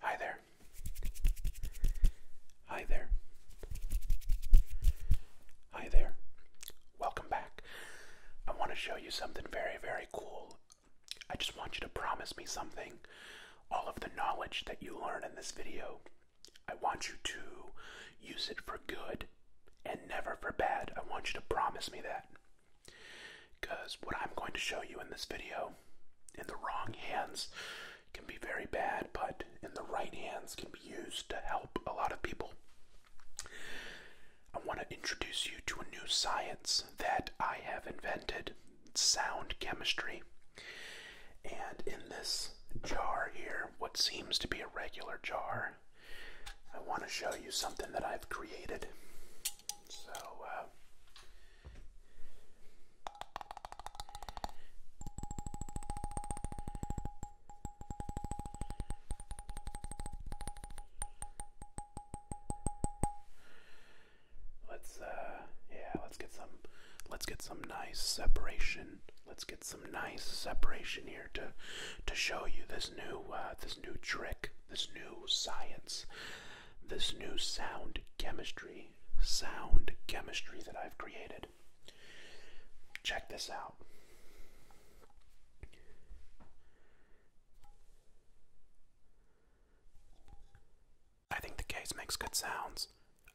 Hi there. Hi there. Hi there. Welcome back. I want to show you something very, very cool. I just want you to promise me something. All of the knowledge that you learn in this video, I want you to use it for good and never for bad. I want you to promise me that. Because what I'm going to show you in this video, in the wrong hands, can be very bad, but in the right hands can be used to help a lot of people. I want to introduce you to a new science that I have invented sound chemistry. And in this jar here, what seems to be a regular jar I want to show you something that I've created. So, uh, Let's uh, yeah, let's get some let's get some nice separation. Let's get some nice separation here to to show you this new uh, this new trick this new science, this new sound chemistry, sound chemistry that I've created. Check this out. I think the case makes good sounds.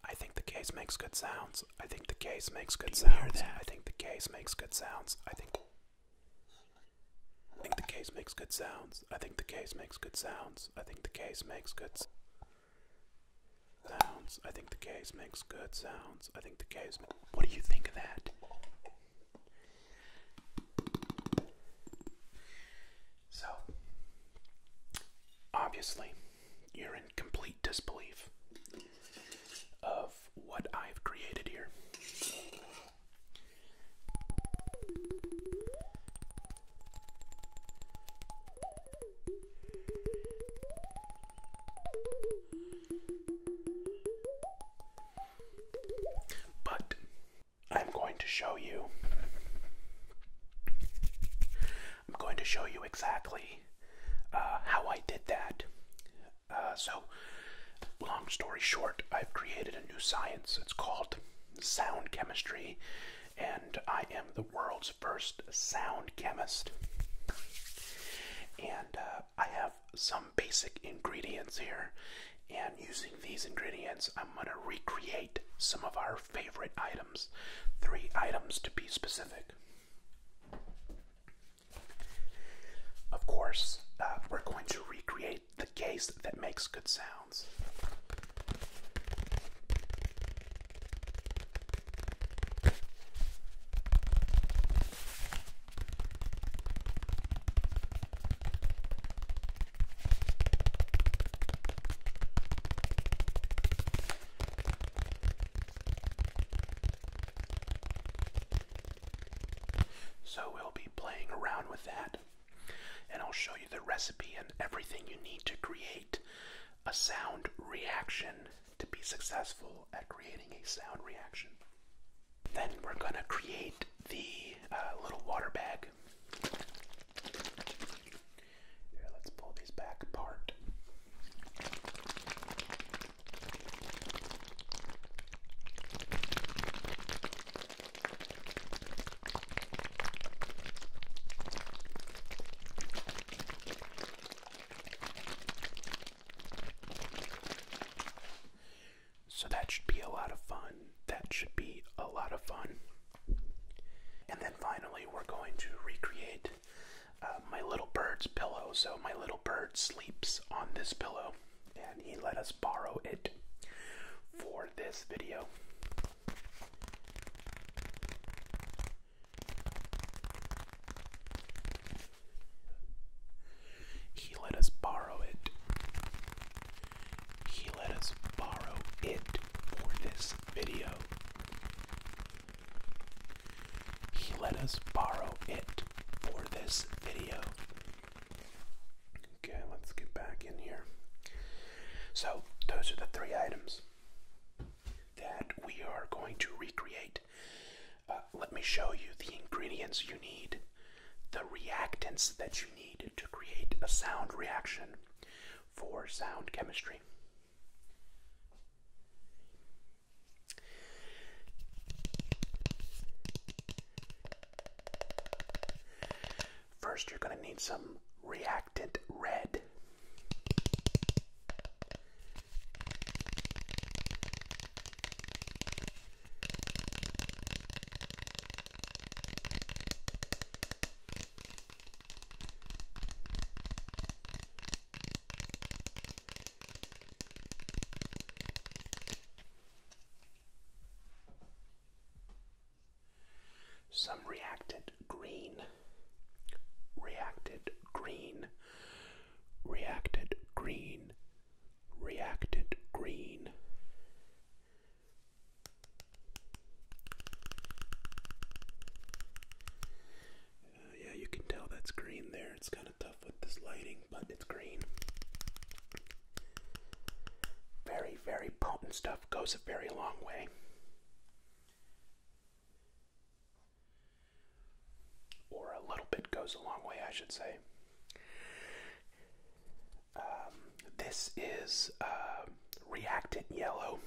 I think the case makes good sounds. I think the case makes good sounds. I think the case makes good sounds. I think. I think the case makes good sounds. I think the case makes good sounds. I think the case makes good sounds. I think the case makes good sounds. I think the case. What do you think of that? So, obviously, you're in complete disbelief of what I've created here. But I'm going to show you. I'm going to show you exactly uh, how I did that uh, so, long story short, I've created a new science. It's called sound chemistry, and I am the world's first sound chemist. And uh, I have some basic ingredients here, and using these ingredients, I'm going to recreate some of our favorite items. Three items to be specific. Of course, uh, we're going to recreate the case that makes good sounds. So we'll be playing around with that and I'll show you the recipe and everything you need to create a sound reaction to be successful at creating a sound reaction. Then we're going to create the uh, little water bag. Here, let's pull these back apart. So that should be a lot of fun. That should be a lot of fun. And then finally, we're going to recreate uh, my little bird's pillow. So my little bird sleeps on this pillow and he let us borrow it for this video. He let us borrow it. He let us borrow it for this video. He let us borrow it for this video. Okay, let's get back in here. So, those are the three items that we are going to recreate. Uh, let me show you the ingredients you need, the reactants that you need to create a sound reaction for sound chemistry. First, you're going to need some reactant red. Some reacted green, reacted green, reacted green, reacted green. Uh, yeah, you can tell that's green there. It's got tough with this lighting, but it's green. Very, very potent stuff. Goes a very long way. Or a little bit goes a long way, I should say. Um, this is uh, reactant yellow.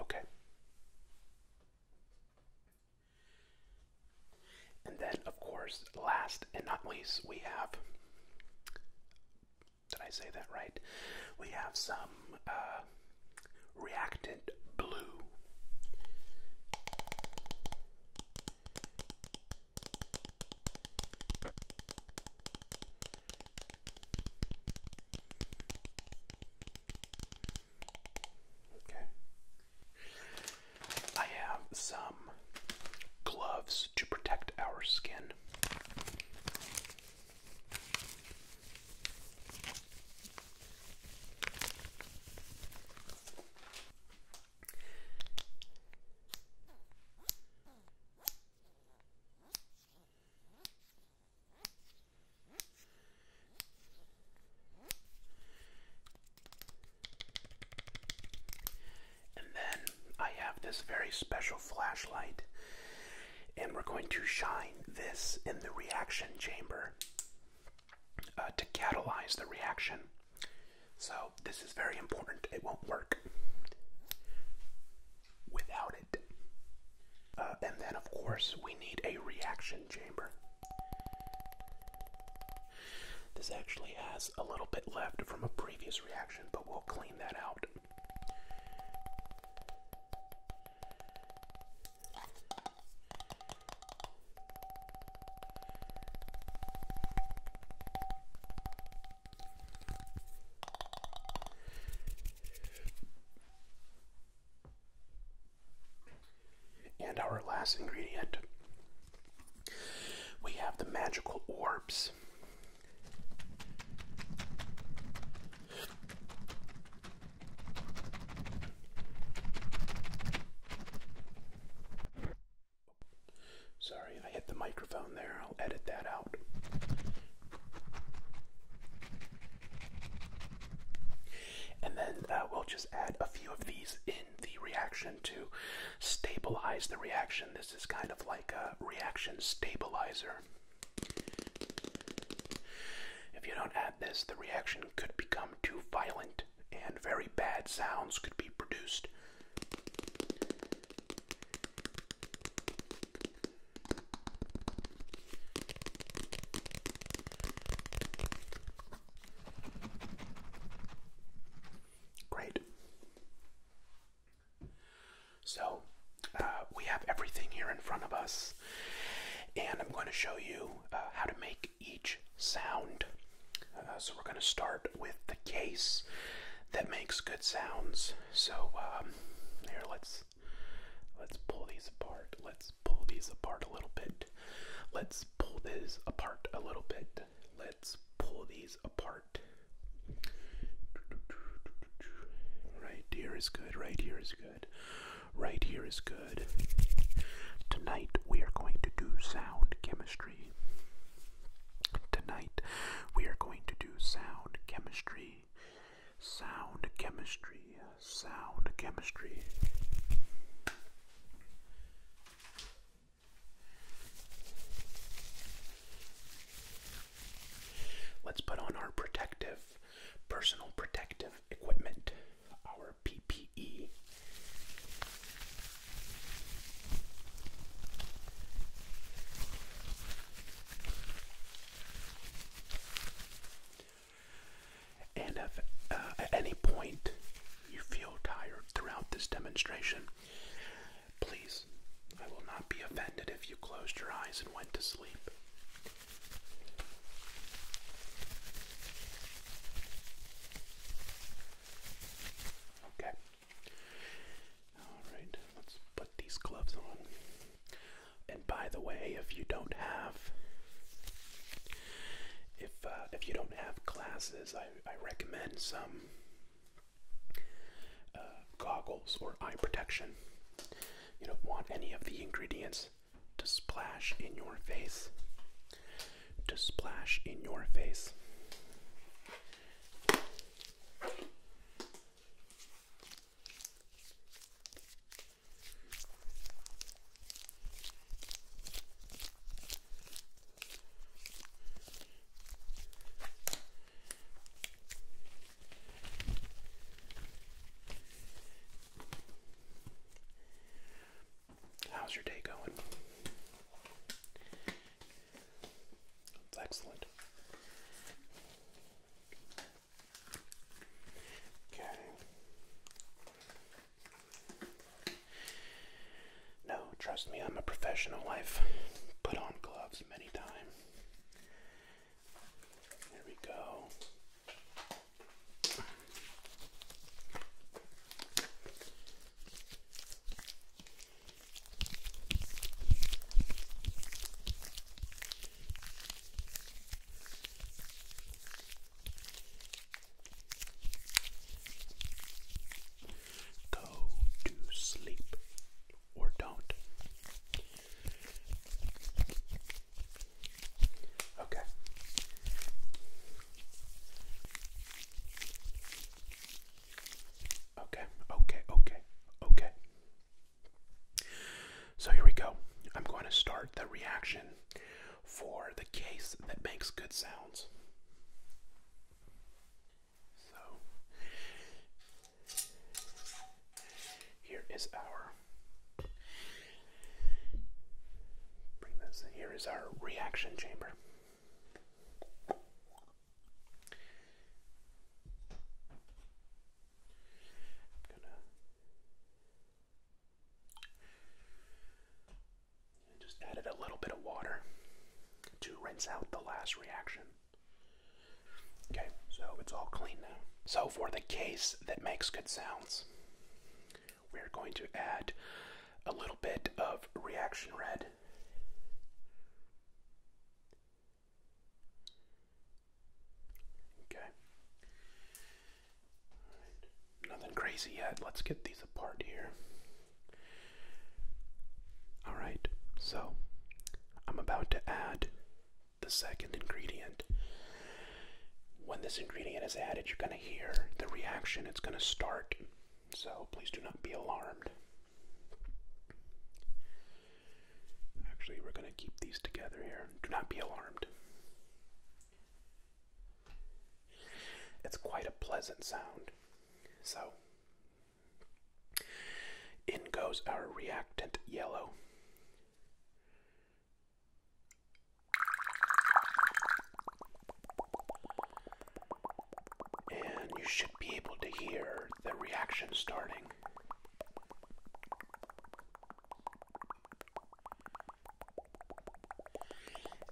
Okay. And then, of course, last and not least, we have. Did I say that right? We have some uh, reactant blue. Okay. I have some gloves to protect our skin. And then I have this very special flashlight and we're going to shine this in the reaction chamber uh, to catalyze the reaction. So, this is very important. It won't work without it. Uh, and then, of course, we need a reaction chamber. This actually has a little bit left from a previous reaction, but we'll clean that out. And our last ingredient we have the magical orbs. Sorry, I hit the microphone there. I'll edit that out. And then uh, we'll just add a few of these in the reaction to stabilize the reaction. This is kind of like a reaction stabilizer. If you don't add this, the reaction could become too violent and very bad sounds could be produced. Great. So, uh, we have everything here in front of us, and I'm going to show you uh, how to make each sound. Uh, so we're going to start with the case that makes good sounds. So um, here, let's let's pull these apart. Let's pull these apart a little bit. Let's pull these apart a little bit. Let's pull these apart. Right here is good. Right here is good right here is good. Tonight we are going to do sound chemistry. Tonight we are going to do sound chemistry. Sound chemistry. Sound chemistry. Let's put on our protective personal protective equipment, our PPE. And if uh, at any point you feel tired throughout this demonstration, please, I will not be offended if you closed your eyes and went to sleep. Okay. Alright, let's put these gloves on. And by the way, if you don't have if uh, if you don't have glasses, I, I recommend some uh, goggles or eye protection. You don't want any of the ingredients to splash in your face, to splash in your face. How's your day going? excellent. Okay. No, trust me, I'm a professional. I've put on gloves many times. There we go. Go to sleep or don't. Okay. Okay, okay, okay, okay. So here we go. I'm going to start the reaction for the case that makes good sounds. So here is our Here is our reaction chamber. I'm gonna just added a little bit of water to rinse out the last reaction. Okay, so it's all clean now. So for the case that makes good sounds, we're going to add a little bit of reaction red. Okay. Nothing crazy yet. Let's get these apart here. Alright, so I'm about to add the second ingredient. When this ingredient is added, you're going to hear the reaction. It's going to start. So please do not be alarmed. Actually, we're going to keep these together here. Do not be alarmed. It's quite a pleasant sound. So, in goes our reactant yellow. And you should be able to hear the reaction starting.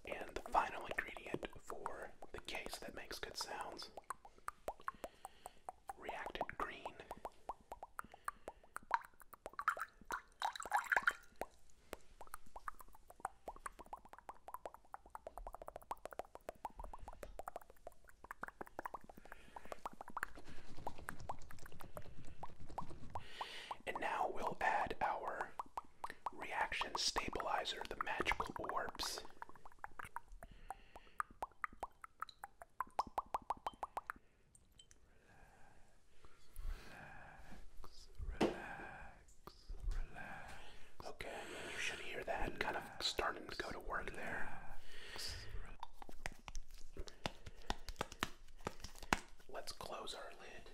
And the final ingredient for the case that makes good sounds reacted green. And now we'll add our reaction stabilizer, the magical orbs relax, Okay, you should hear that kind of starting to go to work there. Let's close our lid.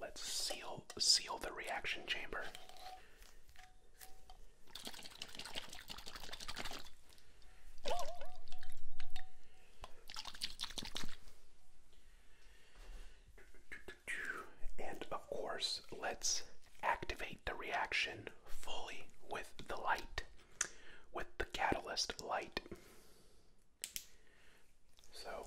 Let's seal seal the reaction chamber. And of course, let's activate the reaction fully with the light, with the catalyst light. So,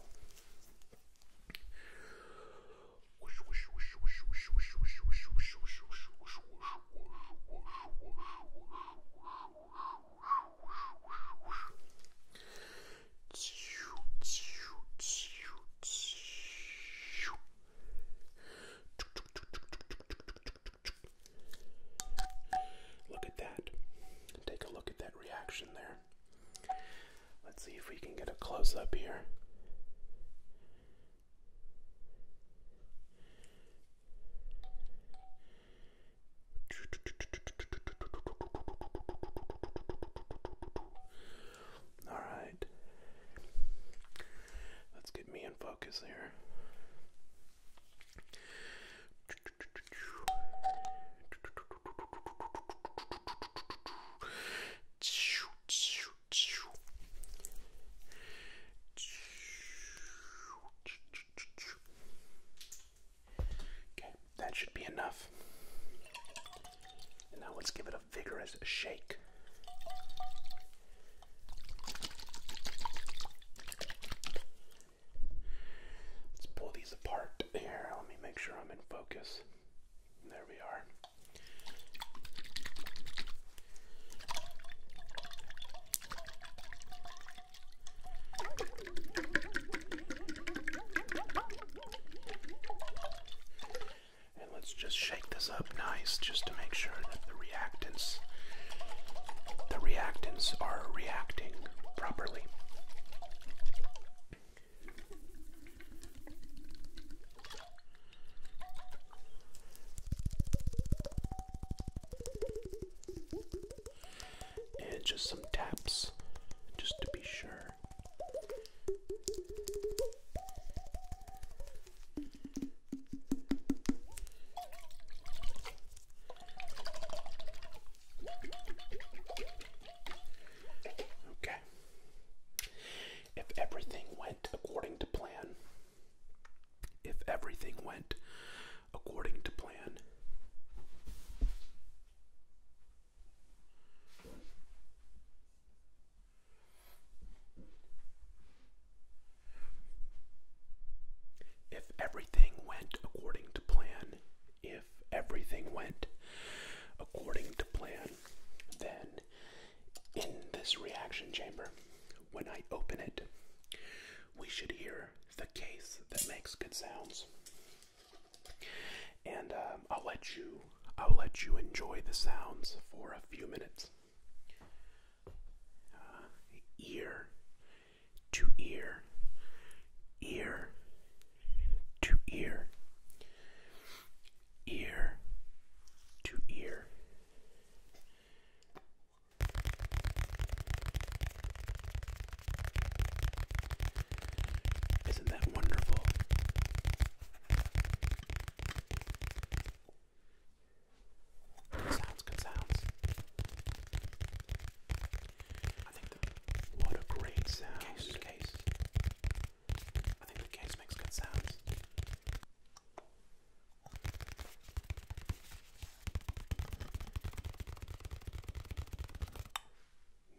Look at that. Take a look at that reaction there. Let's see if we can get a close up here. All right. Let's get me in focus here. Okay, that should be enough. And now let's give it a vigorous shake. Let's pull these apart here. Let me make sure I'm in focus. There we are. And let's just shake this up nice just to make sure that the reactants the reactants are reacting properly. And just some taps, just to be sure. Okay. If everything went according to plan, if everything went according to plan, if everything went according to plan, if everything went according to plan, then in this reaction chamber when I open it, we should hear the case that makes good sounds. And um, I'll let you I'll let you enjoy the sounds for a few minutes. Uh, ear to ear, ear to ear, ear to ear, isn't that wonderful? sounds, good sounds. I think the what a great sound. Case, case. I think the case makes good sounds.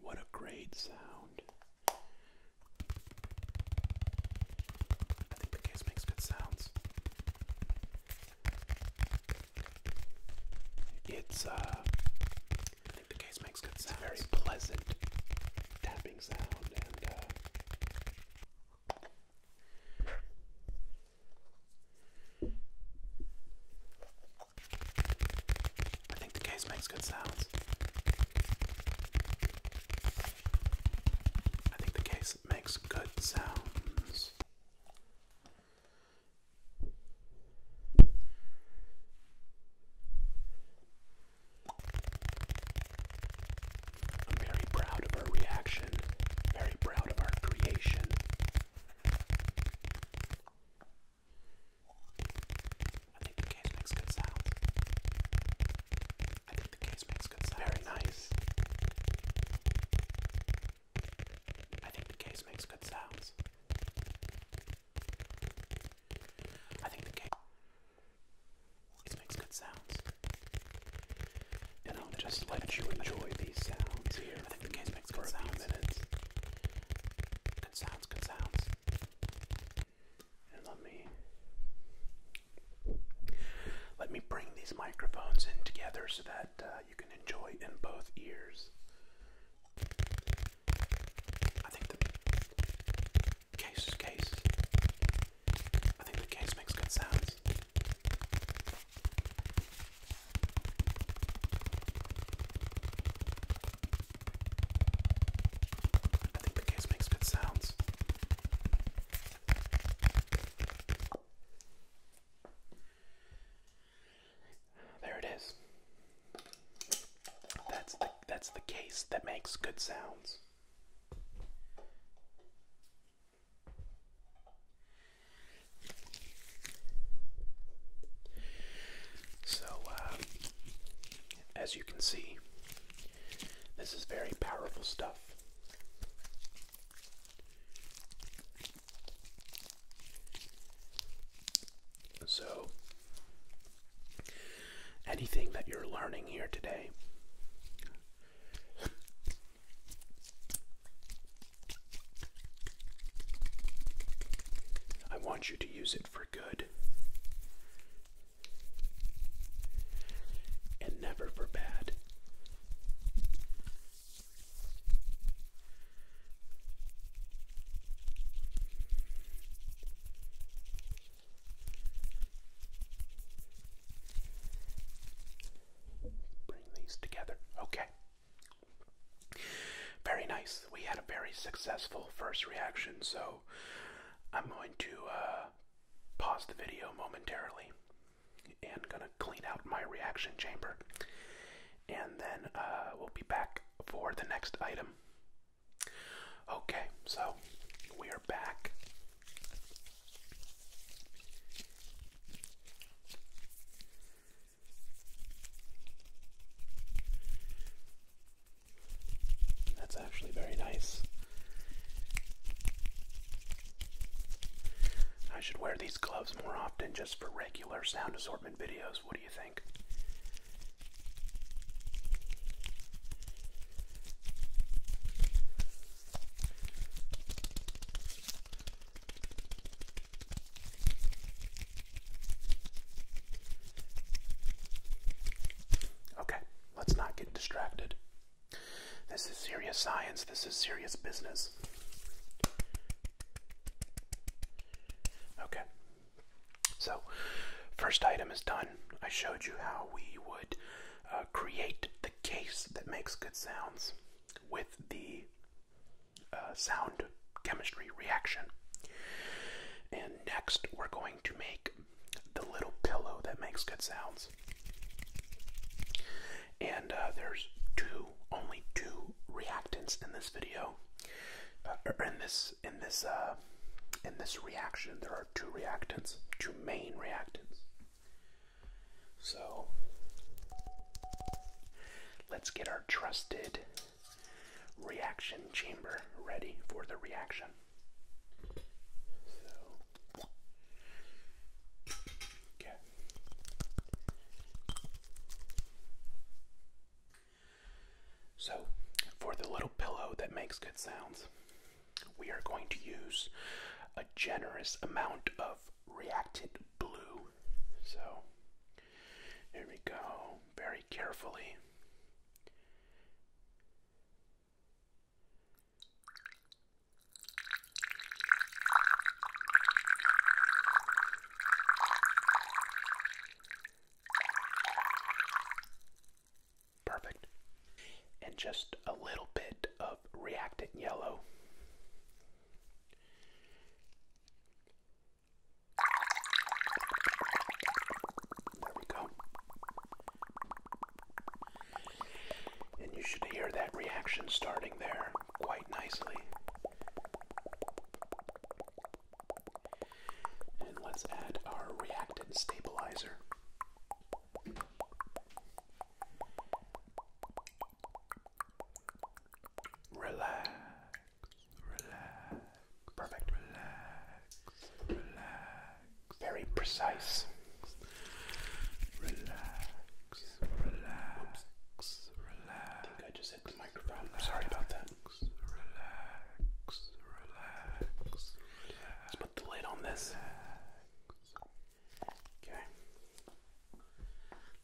What a great sound. I think the case makes good sounds. It's, uh, I think the case makes good sounds. Very pleasant tapping sound and, uh, I think the case makes good sounds. I think the case makes good sounds. I'm very proud of our reaction, very proud of our creation. I think the case makes good sound. I think the case makes good sound. Very nice. I think the case makes good sounds. I think the case. It makes good sounds. And I'll just let you enjoy these sounds here. for a few minutes. Good sounds, good sounds. And let me let me bring these microphones in together so that uh, you can enjoy in both ears. I think the case case I think the case makes good sounds. I think the case makes good sounds. There it is. That's the that's the case that makes good sounds. So, uh, as you can see, this is very powerful stuff. So, anything that you're learning here today I want you to use it for good and never for bad. Bring these together. Okay. Very nice. We had a very successful first reaction, so I'm going to uh, pause the video momentarily and gonna clean out my reaction chamber, and then uh, we'll be back for the next item. Okay, so we are back that's actually very nice. I should wear these gloves more often just for regular sound assortment videos. What do you think? Okay, let's not get distracted. This is serious science, this is serious business. Okay, so first item is done. I showed you how we would uh, create case that makes good sounds with the uh, sound chemistry reaction. And next, we're going to make the little pillow that makes good sounds. And uh, there's two, only two reactants in this video, uh, in this, in this, in this reaction. There are two reactants, two main reactants. So let's get our trusted reaction chamber ready for the reaction. So, for the little pillow that makes good sounds, we are going to use a generous amount of reacted blue. So here we go, very carefully. Perfect. And just a little bit of reactant yellow. There we go. And you should hear that reaction starting there quite nicely. And let's add our reactant stabilizer. Relax, relax, perfect, relax, relax, very precise. Relax, relax, relax. I think I just hit the microphone. Sorry about that. Relax, relax, Let's put the lid on this. Okay.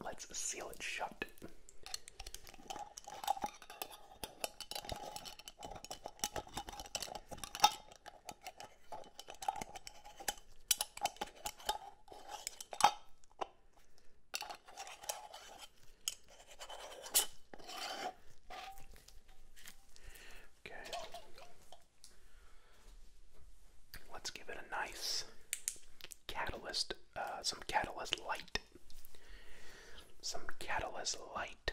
Let's seal it shut. Okay. Let's give it a nice catalyst, uh, some catalyst light. Some catalyst light.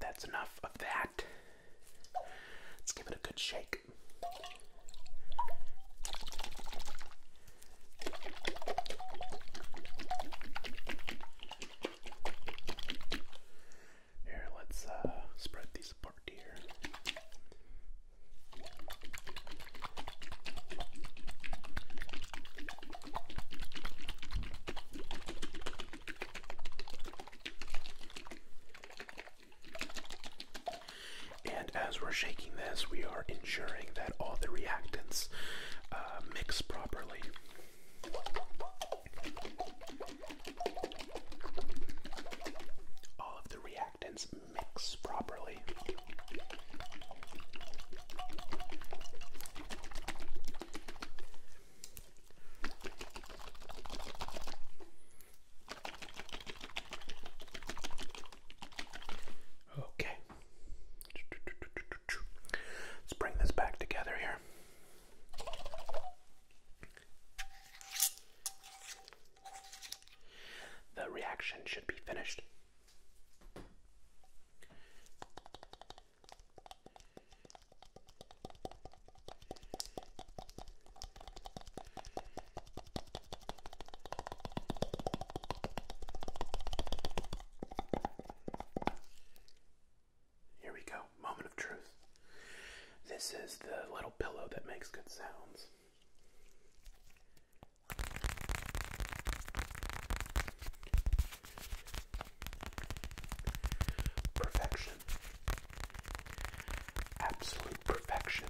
That's enough of that. Let's give it a good shake. Here, let's uh, spread these apart here. And as we're shaking this, we are ensuring that all the reactants uh, mix properly. All of the reactants mix properly. Okay. Let's bring this back together here. The reaction should be finished. Here we go, moment of truth. This is the little pillow that makes good sounds. Perfection. Absolute perfection.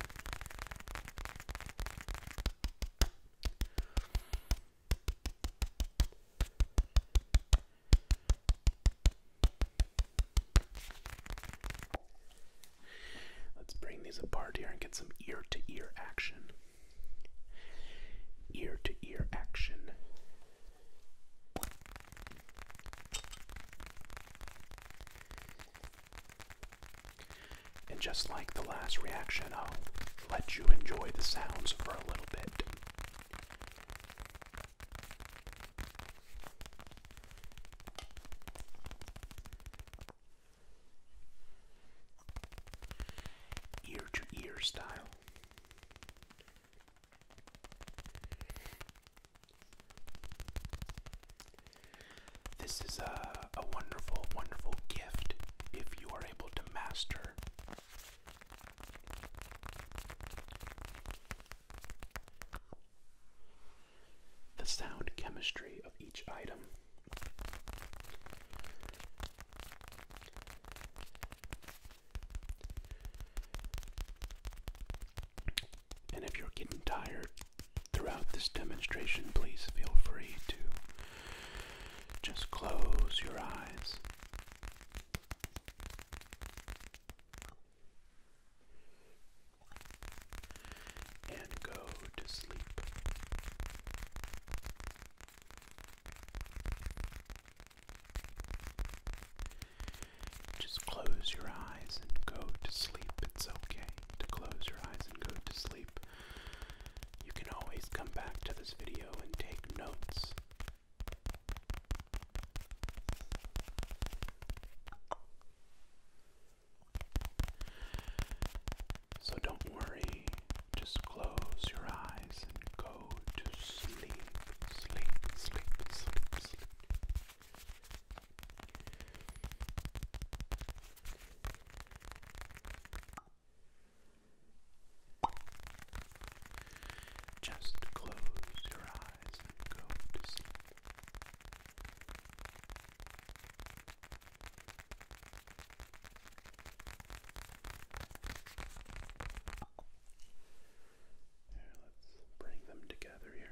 Let's bring these apart here and get some ear to ear action. Ear to ear action. And just like the last reaction, I'll let you enjoy the sounds for a little bit ear to ear style. This is a, a wonderful, wonderful gift if you are able to master the sound chemistry of each item. And if you're getting tired throughout this demonstration, please feel free to just close your eyes and go to sleep. Just close your eyes and go to sleep. It's okay to close your eyes and go to sleep. You can always come back to this video and take notes. So don't worry, just close your eyes and go to sleep, sleep, sleep, sleep, sleep. Just close your eyes and go to sleep. Here, let's bring them together here.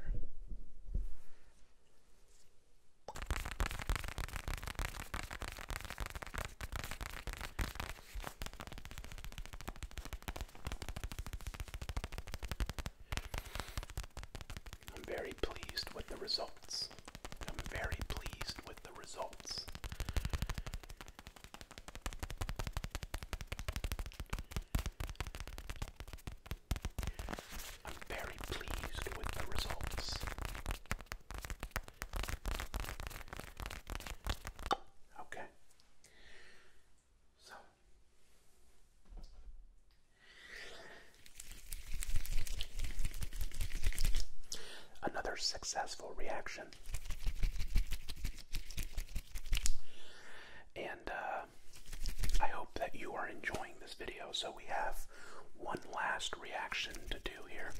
I'm very pleased with the results. I'm very pleased with the results. I'm very pleased with the results. Okay. So Another successful reaction. And uh, I hope that you are enjoying this video. So we have one last reaction to do here.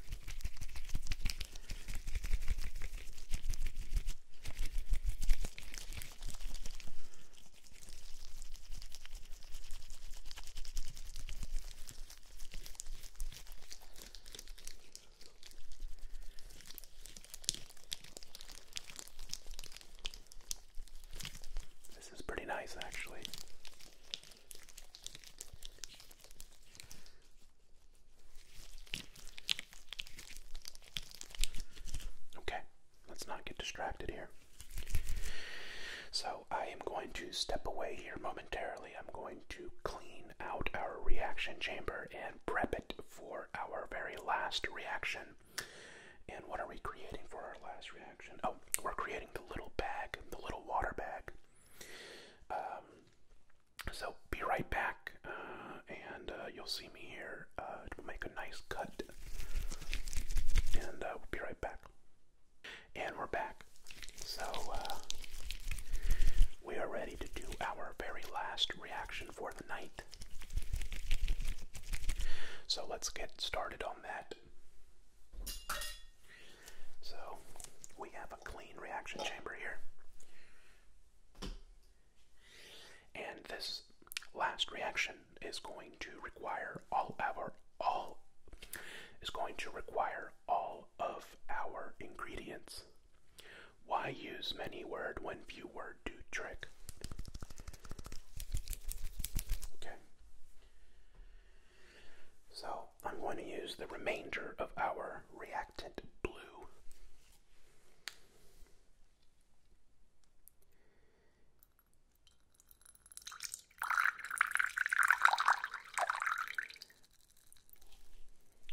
This is pretty nice, actually. Okay, Let's not get distracted here. So, I am going to step away here momentarily. I'm going to clean out our reaction chamber and prep it for our very last reaction. And what are we creating for our last reaction? Oh, we're creating the little bag, the little water bag. Um, so, be right back, uh, and uh, you'll see me here. Uh, we'll make a nice cut, and uh, we'll be right back. And we're back. So, uh, we are ready to do our very last reaction for the night. So, let's get started on that. So, we have a clean reaction chamber here. And this last reaction is going to require all our all is going to require all of our ingredients. Why use many word when few word do trick? Okay. So I'm going to use the remainder of our reactant blue.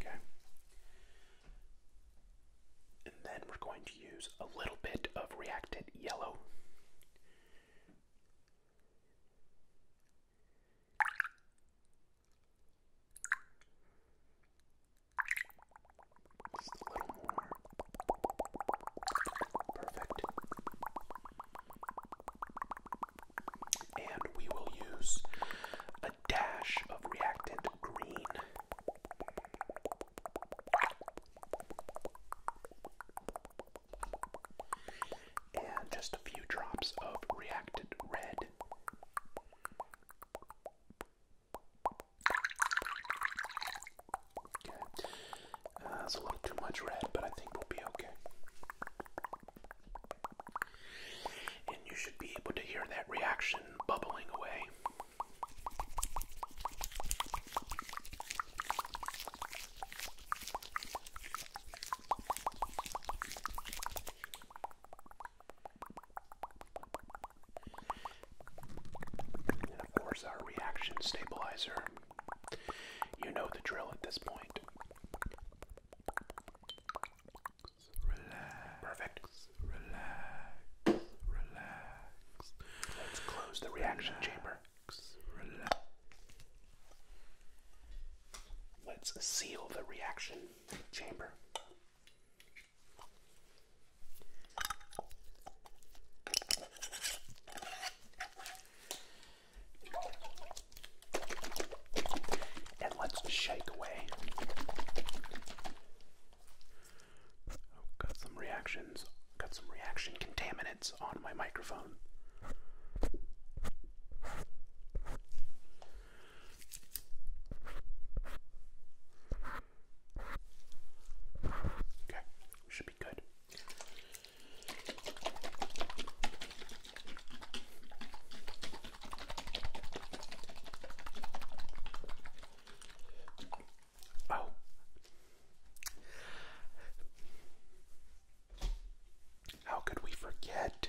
Okay. And then we're going to use a little bit of reacted yellow. Perfect. And we will use a dash of reactant green. And just a few drops of reactant red. Uh, that's a little too much red, but I think we'll be okay. And you should be able to hear that reaction bubbling away. And of course, our reaction stabilizer you know the drill at this point. Perfect. Relax. Relax. Let's close the reaction chamber. Let's seal the reaction chamber. And let's shake away. Oh, got some reactions. Got some reaction contaminants on my microphone. Okay, should be good. Oh. How could we forget?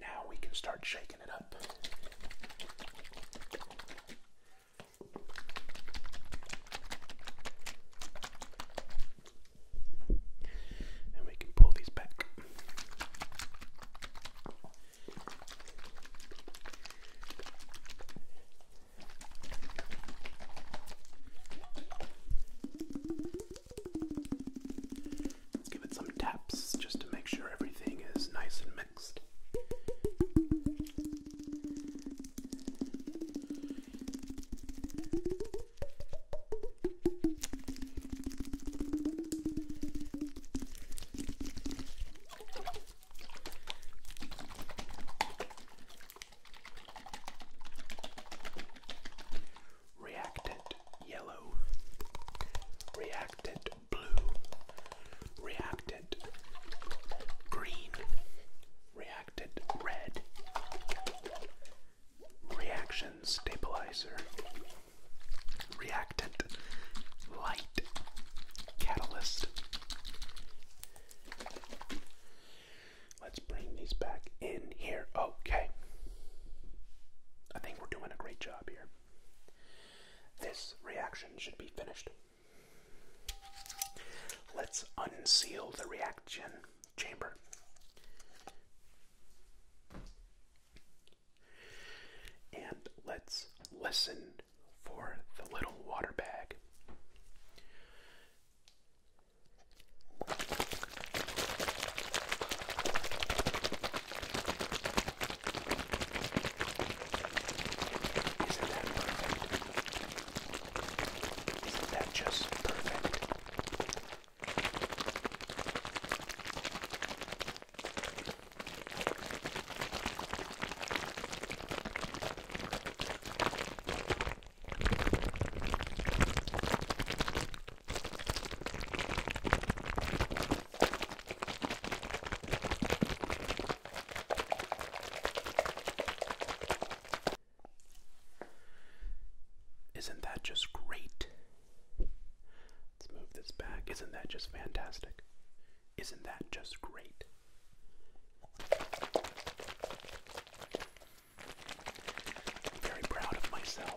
Now we can start shaking it up. And we can pull these back. give it some taps just to make sure everything is nice and mixed. Reactant yellow, reactant Blue reacted. Green reacted. Red reaction stabilizer. Reactant light catalyst. Let's bring these back in here. Okay. I think we're doing a great job here. This reaction should be finished. Let's unseal the reaction chamber. And let's listen for the little water bag. Isn't that perfect? Isn't that just perfect? Isn't that just great? Let's move this back. Isn't that just fantastic? Isn't that just great? I'm very proud of myself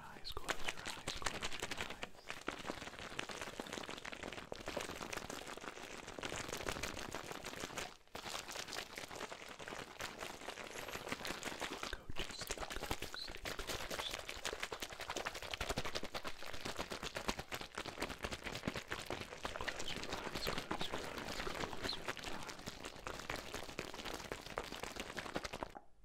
your eyes, close your eyes, close your eyes. Go to sleep, go to sleep, go to sleep. Close your eyes, close your eyes, close your eyes. Close your eyes.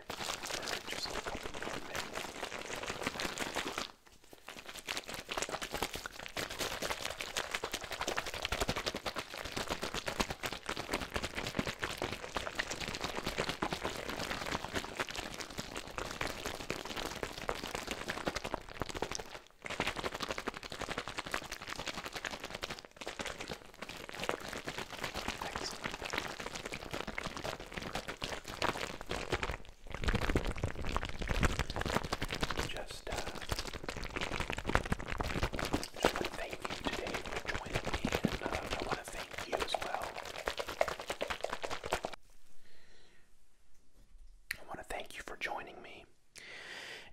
for just a couple more minutes. Thanks. Just, uh, want to thank you today for joining me, and uh, I want to thank you as well. I want to thank you for joining me,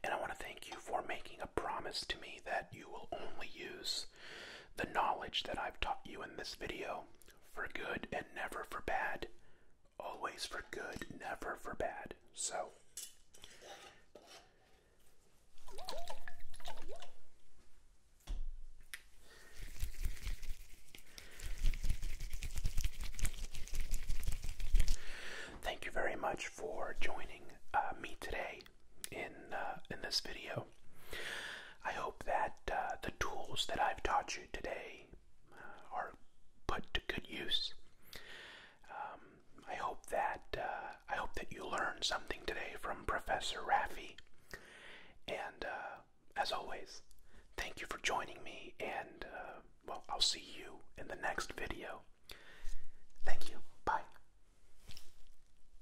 and I want to thank you for making a promise to me that you will only use the knowledge that I've taught you in this video for good and never for bad. Always for good, never for bad. So, thank you very much for joining uh, me today in uh, in this video. I hope that uh, the tools that I've taught you today uh, are put to good use. Um, I hope that I hope that you learned something today from Professor Raffi. And as always, thank you for joining me. And well, I'll see you in the next video. Thank you. Bye.